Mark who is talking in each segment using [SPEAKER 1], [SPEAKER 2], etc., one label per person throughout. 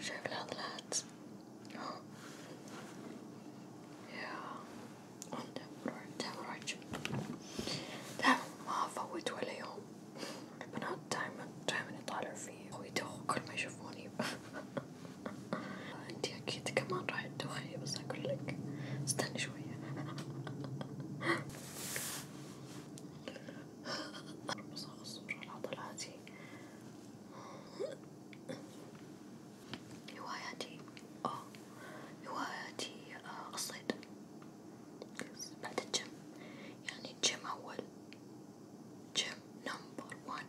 [SPEAKER 1] شايف العضلات ها يا عندك روح دايما روح جيم دايما ما أفوت ولا يوم البنات دايما دايما يطالعوا فيي ويدوخوا كل ما يشوفوني انتي أكيد كمان راح تدوخي بس أقول لك استني شوية رمزها في الصورة العضلاتي هواياتي اه هواياتي آه الصيد بعد الجيم يعني الجيم أول جيم نمبر وان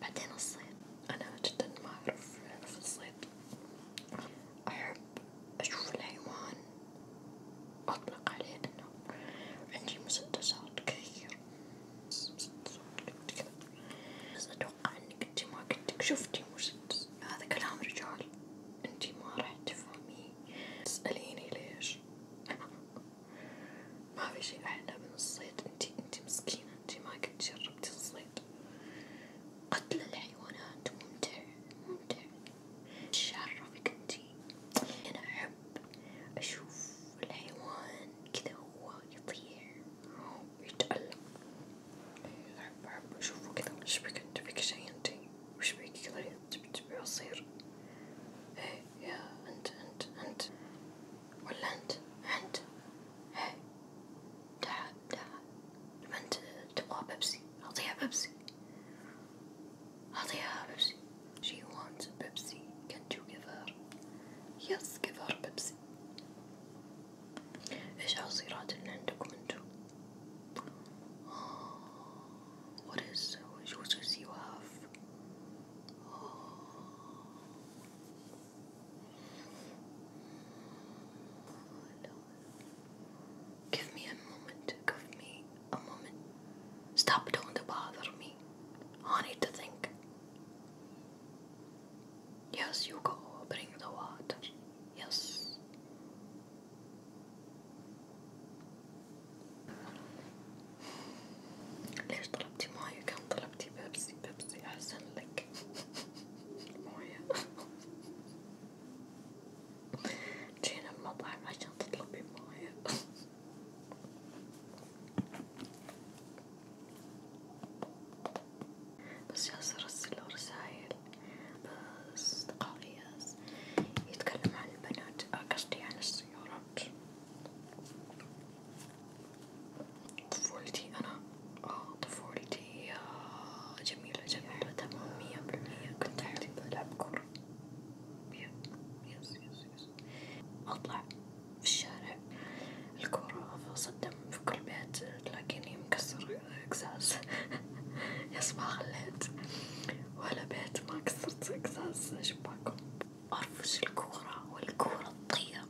[SPEAKER 1] بعدين الصيد أنا جدا ما أعرف في الصيد أحب أشوف الحيوان أطلق عليه إنه عندي مسدسات كثير مسدسات كذا بس أتوقع إنك أنتي ما كنتك شفتي مسدس هذا كلام رجال أنتي ما راح تفهميه تسأليني ليش ما في شي أحلى من الصيد أنتي أنتي مسكينة أنتي ما قد جربتي الصيد قتل الحيوانات ممتع ممتع تشرفك انتي انا احب اشوف الحيوان كذا هو يطير ويتألم احب احب اشوفه كذا ايش بك انت بك شي انتي وش بك كذا تبي تبي عصير ايه يا انت انت انت ولا انت انت ايه تعال تعال انت تبغى بيبسي اعطيها بيبسي Perhaps she wants Pepsi. Can't you give her? Yes, give her Pepsi. إيش عصيرات اللي عندكم انتو؟ Oh, what is what juices you have? Oh. I Give me a moment. Give me a moment. Stop, don't bother me. I need to think. Yes, you go. Bring the water. Yes. ليش طلبتي ماية؟ كان طلبتي بيبسي بيبسي أحسن لك موية جينا المطعم عشان تطلبي موية بس جالسة أرسل له رسايل بس إياس يتكلم عن البنات آه، قصدي عن السيارات طفولتي أنا آه طفولتي هي جميلة جميلة تمام مية بالمية كنت أحب ألعب كورة يس يس يس أطلع في الشارع الكورة صدم في كل بيت تلاقيني مكسر قزاز يس ما خليت ولا بيت ما كسرت قزاز شباكهم أرفش الكورة والكورة تطير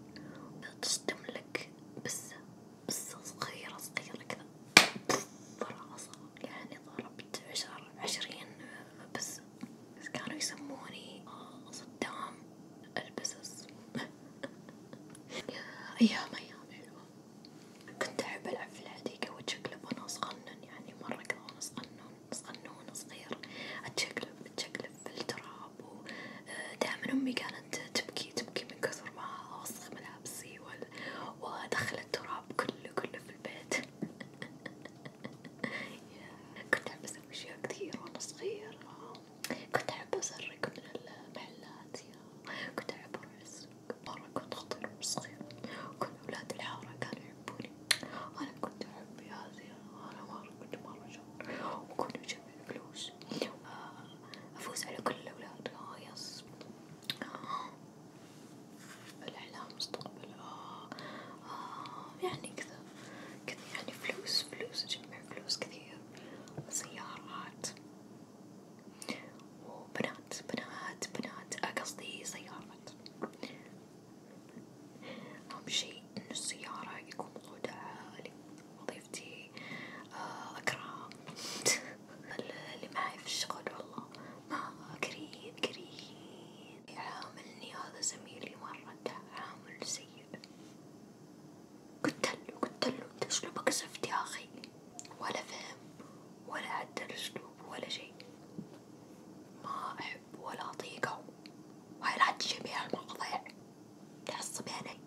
[SPEAKER 1] تصدملك بسة بس صغيرة صغيرة كذا فراسة يعني ضربت عشر عشرين بس كانوا يسموني آه، صدام البسس أيام أيام حلوة كنت أحب ألعب في الحديقة وأتشقلب وأنا صغنن يعني مرة كذا وأنا صغنن صغنون صغير أتشقلب أتشقلب في التراب ودائما آه، أمي كانت تبكي تبكي تبكي من كثر ما أوسخ ملابسي وأدخل التراب كله كله في البيت كنت أحب أسوي أشياء كثير وأنا صغيرة كنت أحب أسرق من المحلات كنت أحب أروح السوق مرة كنت خطيرة وأنا صغيرة كل أولاد الحارة كانوا يحبوني أنا كنت أحب هذه أنا مرة كنت مرة شاطرة وكنت أجمع فلوس آه، أفوز على كل الأولاد آه يس آه. الإعلام مستقبل آه. آه. يعني كذا كذا يعني فلوس فلوس جمع فلوس كثير سيارات وبنات بنات بنات آه، قصدي سيارات أهم شي إنه السيارة يكون وضعها عالي وظيفتي آه أكرهها اللي معي في الشغل والله ما كريم كريم يعاملني هذا زميلي مرة تعامل سيء قلتله قلتله انت اسلوبك زفت يا اخي ولا فهم ولا عدل اسلوب ولا شيء ما احب ولا اطيقه وهاي لا تجيب المواضيع That's many.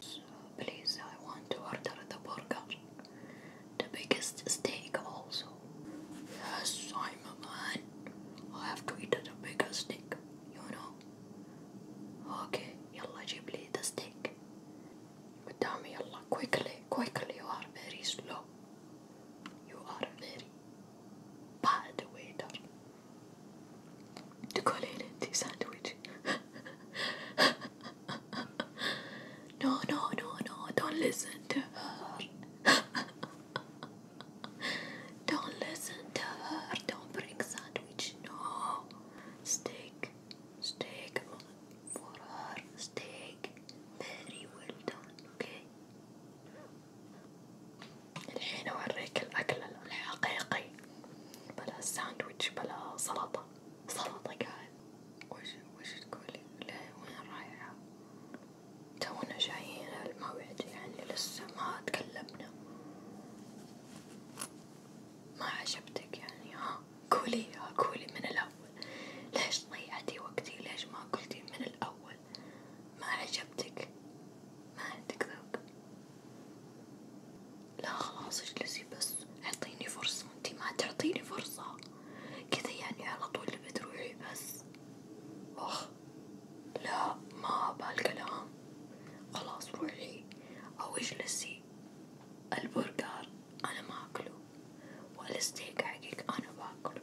[SPEAKER 1] So please, I want to order the burger. The biggest steak also. Yes, I'm a man. I have to eat the biggest steak, you know. Okay, يلا جيب لي the steak. قدامي يلا quickly, quickly. You are very slow. You are very bad waiter. Chocolate sandwich. no, no, no, no, don't listen to her. don't listen to her. Don't bring sandwich. No. Steak. Steak for her. Steak. Very well done, okay? الحين أوريك الأكل الحقيقي بلا ساندويتش بلا سلطة سلطة قاعد وش وش تقولي لا وين رايحة تونا جايين الموعد يعني لسه ما تكلمنا ما عجبتك يعني ها قولي قولي من الأول ليش ضيعتي وقتي ليش ما قلتي من الأول ما عجبتك ما عندك ذوق لا خلاص اجلسي بس اعطيني فرصة انتي ما تعطيني فرصة كذا يعني على طول بتروحي بس اخ لا ما بهالكلام خلاص روحي او اجلسي البرجر انا ما اكله والستيك حقك انا باكله